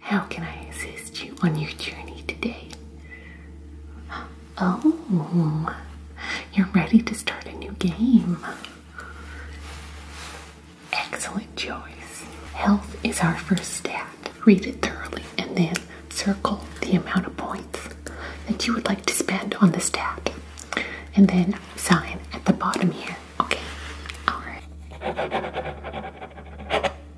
How can I assist you on your journey today? Oh, you're ready to start a new game. Excellent choice. Health is our first stat. Read it thoroughly and then circle the amount of points that you would like to spend on the stat. And then sign at the bottom here. Okay? Alright.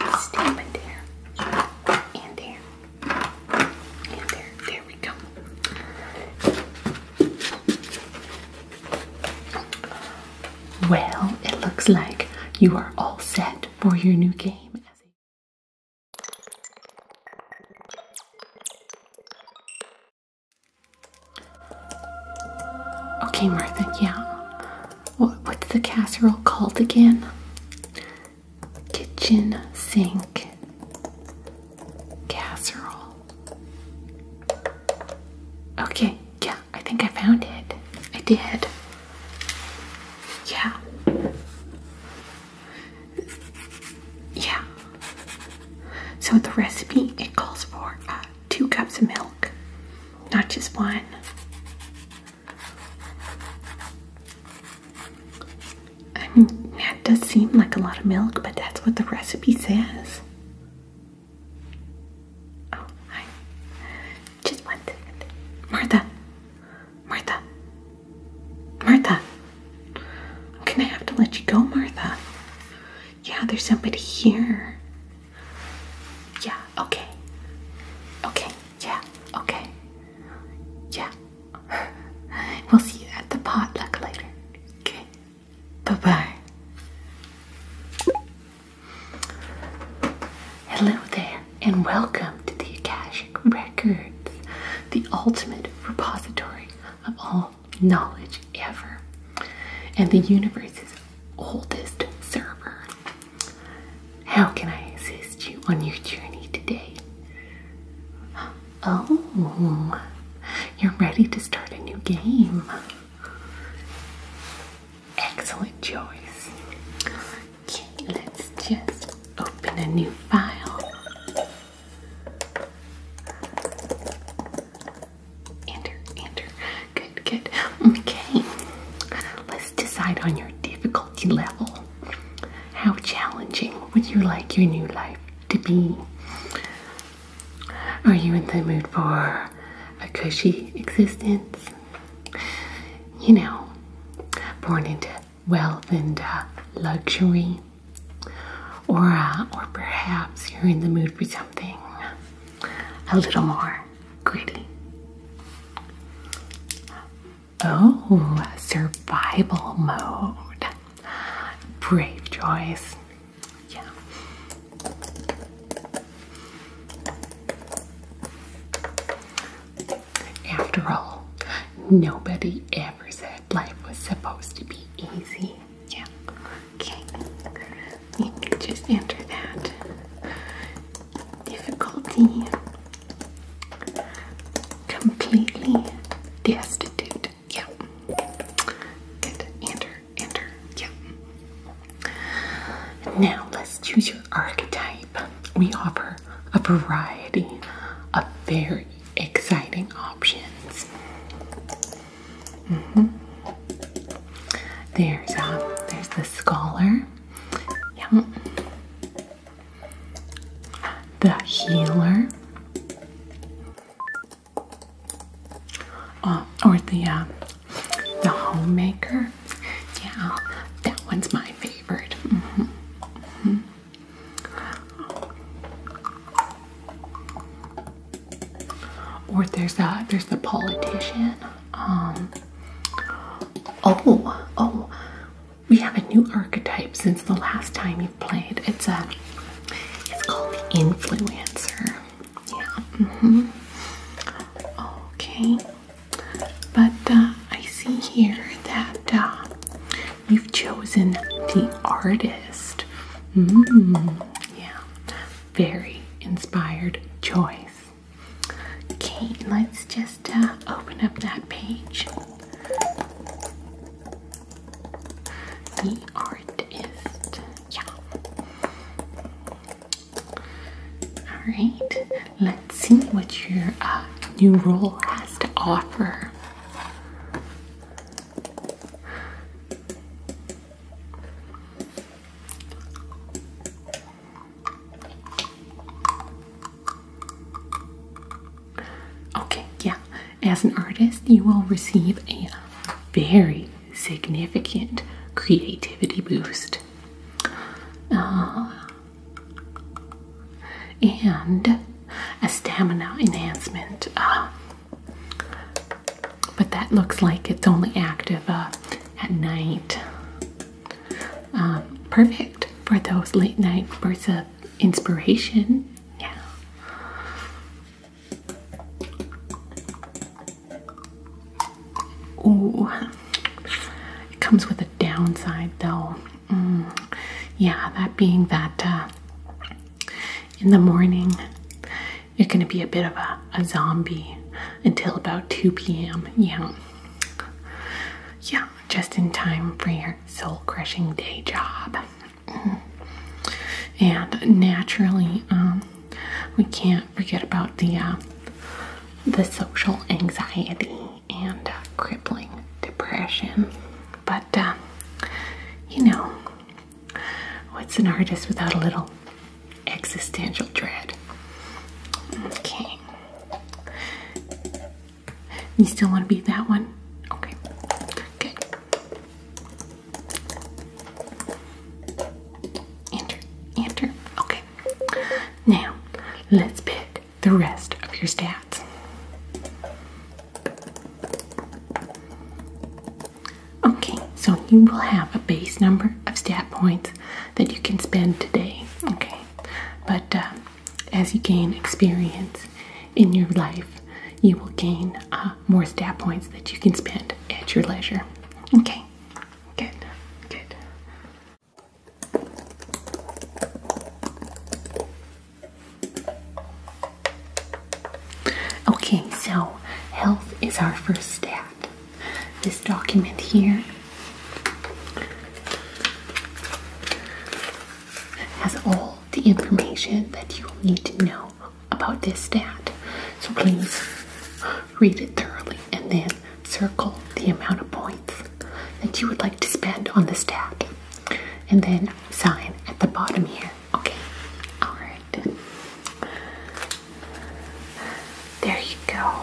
and there, and there. There we go. Well, it looks like you are all set for your new game. Okay, Martha, yeah what's the casserole called again? Kitchen sink casserole. Okay, yeah, I think I found it. I did. Yeah. Yeah. So the recipe it calls for uh, two cups of milk, not just one. that does seem like a lot of milk, but that's what the recipe says. Oh, hi. Just one second. Martha. Martha. Martha. I'm gonna have to let you go, Martha. Yeah, there's somebody here. Yeah, okay. Okay, yeah, okay. Yeah. we'll see you at the potluck later. Okay. Bye bye. Hello there, and welcome to the Akashic Records, the ultimate repository of all knowledge ever, and the universe's oldest server. How can I assist you on your journey today? Oh, you're ready to start a new game. Excellent choice. Okay, let's just open a new file. Enter, enter. Good, good. Okay. Let's decide on your difficulty level. How challenging would you like your new life to be? Are you in the mood for a cushy existence? You know, born into wealth and uh, luxury? Or, uh, or perhaps you're in the mood for something a little more gritty. Oh, survival mode. Brave choice. Yeah. After all, nobody ever said life was supposed to be easy. Yeah. Okay. Let me just enter that difficulty completely destitute. Yeah. Good. Enter. Enter. Yeah. Now let's choose your archetype. We offer a variety of very exciting options. Mm-hmm. There's um, there's the scholar. Yeah. The healer. Oh, or the uh, the homemaker. Yeah, that one's my favorite. Mm-hmm. Mm-hmm. Or there's uh, there's the politician. Um, oh, oh, we have a new archetype since the last time you played. It's a, it's called influencer. Yeah. Mm-hmm. Okay. But uh, I see here that uh, you've chosen the artist. Mm, yeah. Very inspired choice. Okay, let's just uh, open up that page. The artist, yeah. All right, let's see what your uh, new role has to offer. Okay, yeah. As an artist, you will receive a very significant creativity boost. Uh, and a stamina enhancement. Uh, but that looks like it's only active uh, at night. Um, perfect for those late night bursts of inspiration. Yeah. Ooh, it comes with a downside though. Mm. Yeah, that being that uh, in the morning, it's going to be a bit of a a zombie until about 2 p.m. Yeah. Yeah, just in time for your soul crushing day job. Mm-hmm. And naturally, um, we can't forget about the uh, the social anxiety and uh, crippling depression. But uh, you know, what's an artist without a little existential dread. Okay. You still want to be that one? Okay. Good. Enter. Enter. Okay. Now, let's pick the rest of your stats. Okay, so you will have a base number of stat points that you can spend today, okay? But uh, as you gain experience in your life, you will gain uh, more stat points that you can spend at your leisure, okay? Good, good. Okay, so health is our first stat this document here has all the information that you will need to know about this stat. So please read it thoroughly and then circle the amount of points that you would like to spend on this stat and then sign at the bottom here. Okay, all right. There you go.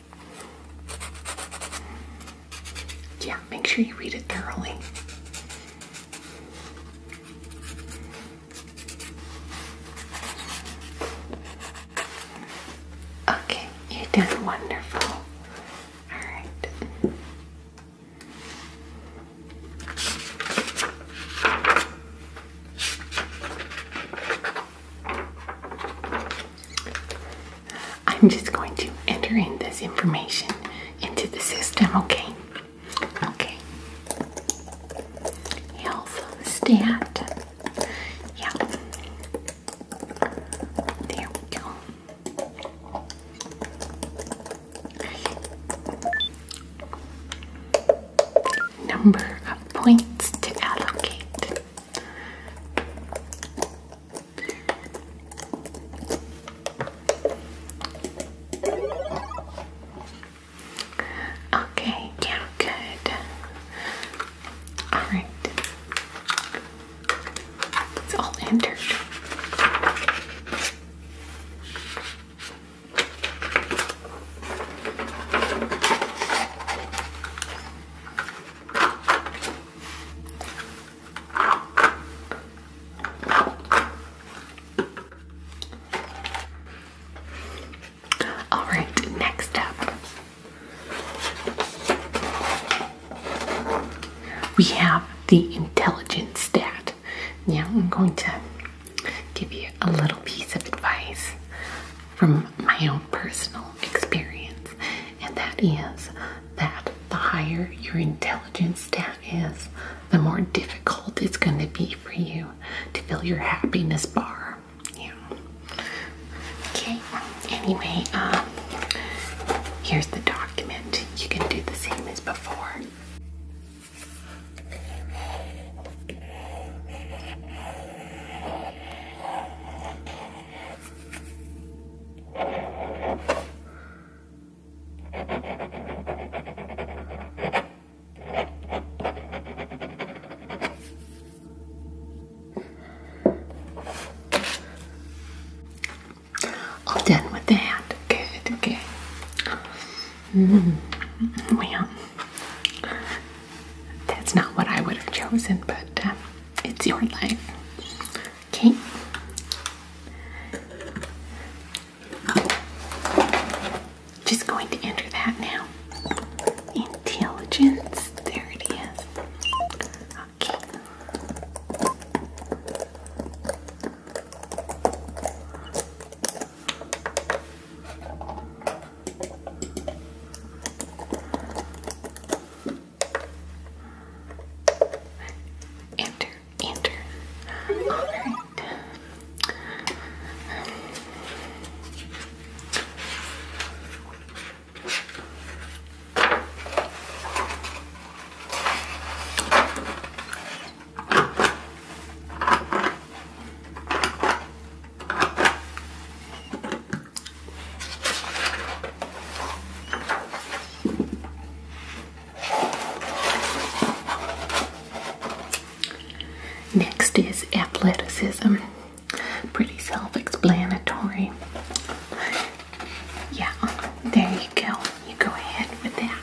Yeah, make sure you read it thoroughly. Okay, you did wonderful. Alright. I'm just going to enter in this information into the system, okay? Okay. Health stat. Yeah. There we go. Number of points to allocate. Okay, yeah, good. Alright. It's all entered. All right, next up, we have the intelligence stat. Now, I'm going to give you a little piece of advice from my own personal experience, and that is that the higher your intelligence stat is, the more difficult it's going to be for you to fill your happiness bar. Yeah. Okay. Anyway, um, here's the document. You can do the same as before. I'm done with that. hand. Good, okay. -hmm. Well, that's not what I would have chosen, but um, it's your life. Okay. Just going to enter that now. Intelligence. There it is. Okay. Enter, enter. Alright. Next is athleticism. Pretty self explanatory. Yeah, there you go. You go ahead with that.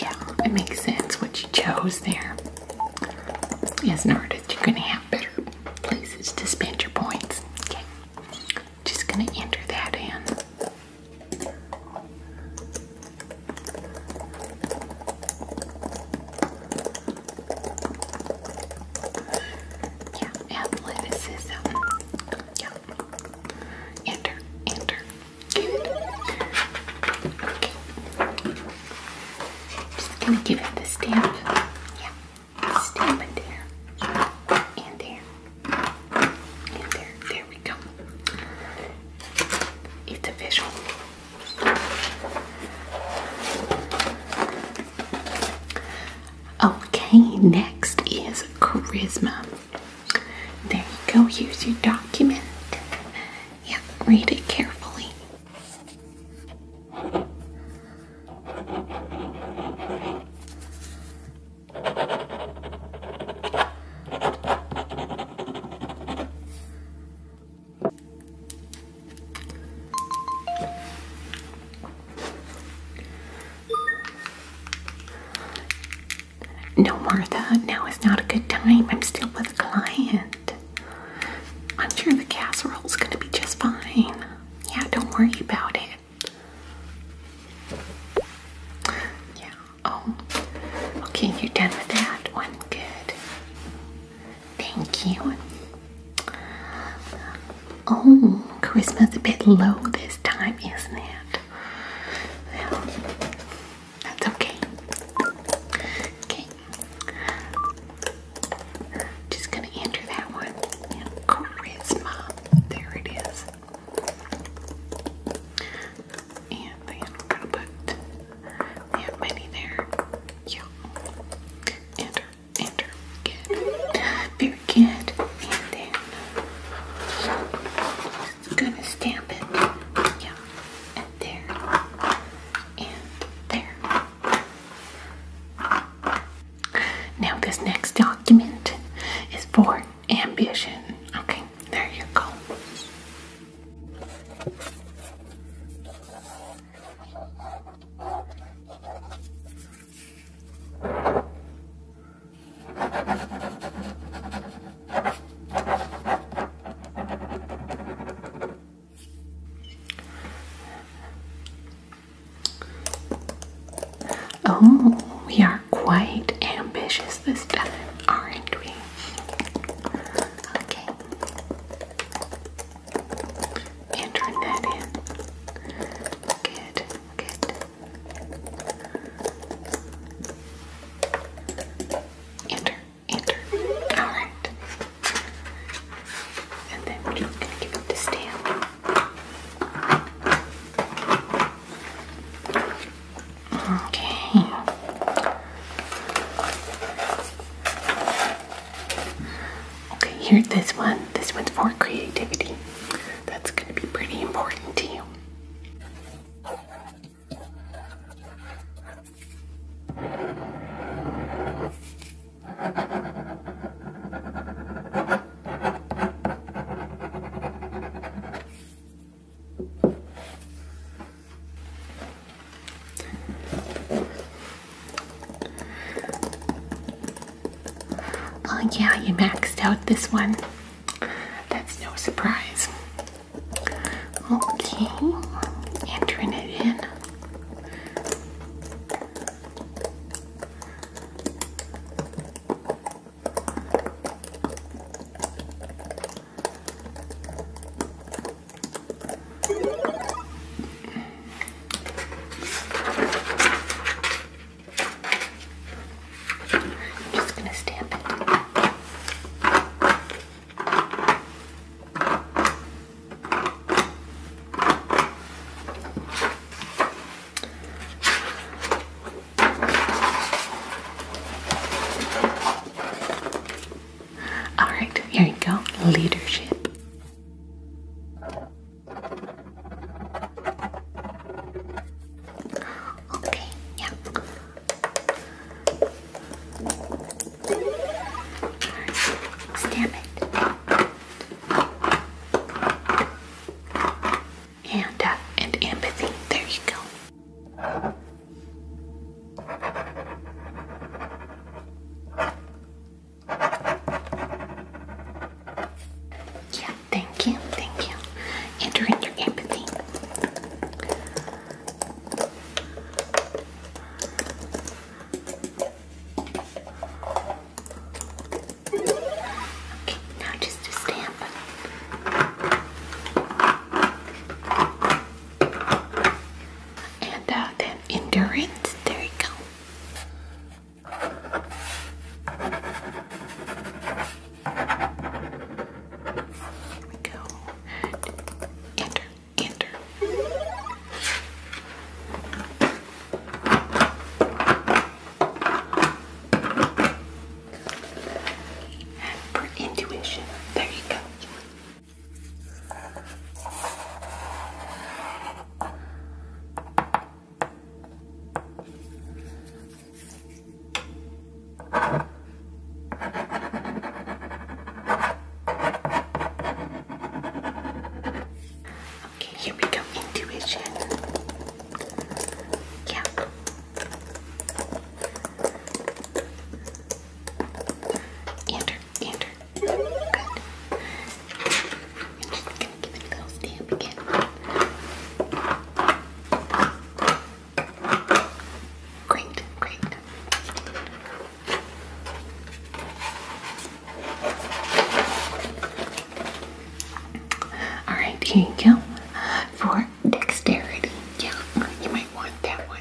Yeah, it makes sense what you chose there. Yes, an artist, you're going to have better places to spend your points. Okay, just going to enter that in. Yeah, athleticism. Yeah, Enter, enter. Good. Okay. Just gonna give it the stamp. Yeah. Stamp it there. And there. And there. There we go. It's official. Okay, next is charisma. There you go. Here's your document. Yeah, read it carefully. No, Martha, now is not a good time. I'm still with a client. I'm sure the casserole's gonna be just fine. Yeah, don't worry about it. Yeah, oh. Okay, you're done with that one. Good. Thank you. Oh, Christmas a bit low this time, isn't it? Well, that's okay. Okay. Just gonna enter that one. Yeah, There it is. And then we're gonna put we have there. Yeah. Enter. Enter. Good get and then gonna stamp it. Yeah, and there and there. Now this next document is for ambition. Okay, there you go. Oh, we are quite ambitious this time, aren't we? Okay. Entering that in. Good, good. Enter, enter. Alright. And then we're just gonna give it the stamp. Okay. Okay, here this one. This one's for creativity. That's going to be pretty important to you. Oh yeah, you maxed out this one. That's no surprise. Okay, entering it in. I'm just going to stamp it. All right, here you go. Leadership. Okay, yeah. Stamp it. And uh, and empathy. There you go. Yeah, Thank you, thank you. Enter in your empathy. Okay, now just to stamp. And uh, then endurance. There you go. Here we go. Enter, enter. For intuition, there you go. Okay, here we come intuition. Yeah. Enter, enter. Good. I'm just gonna give it a little stamp again. Great, great. Alright, here you go. For dexterity. Yeah, you might want that one.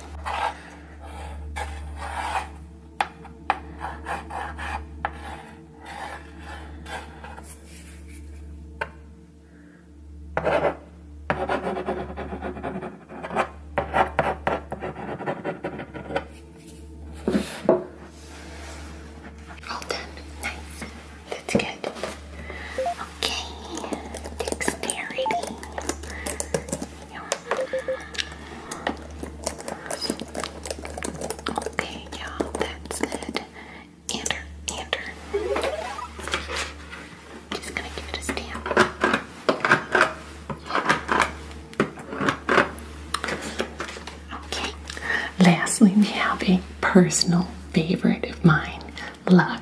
All done. Nice. That's good. Okay. Dexterity. Yeah. Okay, yeah, that's good. Ander, Ander. Just gonna give it a stamp. Okay. Lastly, we have a personal favorite of mine, luck.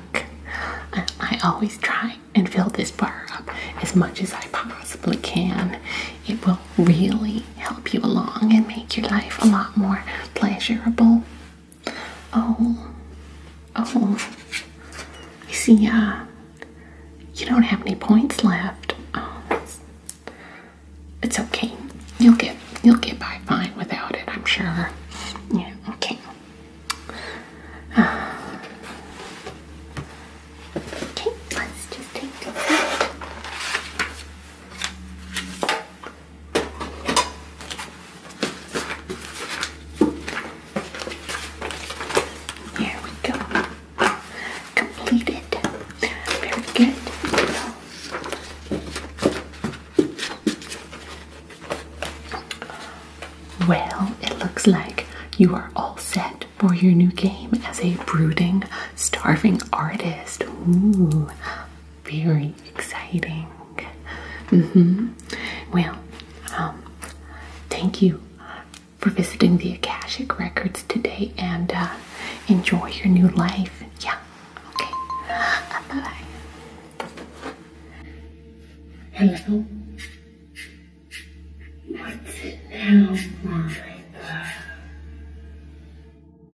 I always try and fill this bar up as much as I possibly can. It will really help you along and make your life a lot more pleasurable. Oh, oh, I see, uh, you don't have any points left. Oh, it's okay. You'll get, you'll get by fine without it, I'm sure. Yeah, okay. okay, let's just take there we go. Completed. Very good. Well, it looks like you are all set for your new game as a brooding, starving artist. Ooh, very exciting. Mm-hmm. Well, um, thank you for visiting the Akashic Records today and uh, enjoy your new life. Yeah. Okay. bye bye. Hello. What's it now, my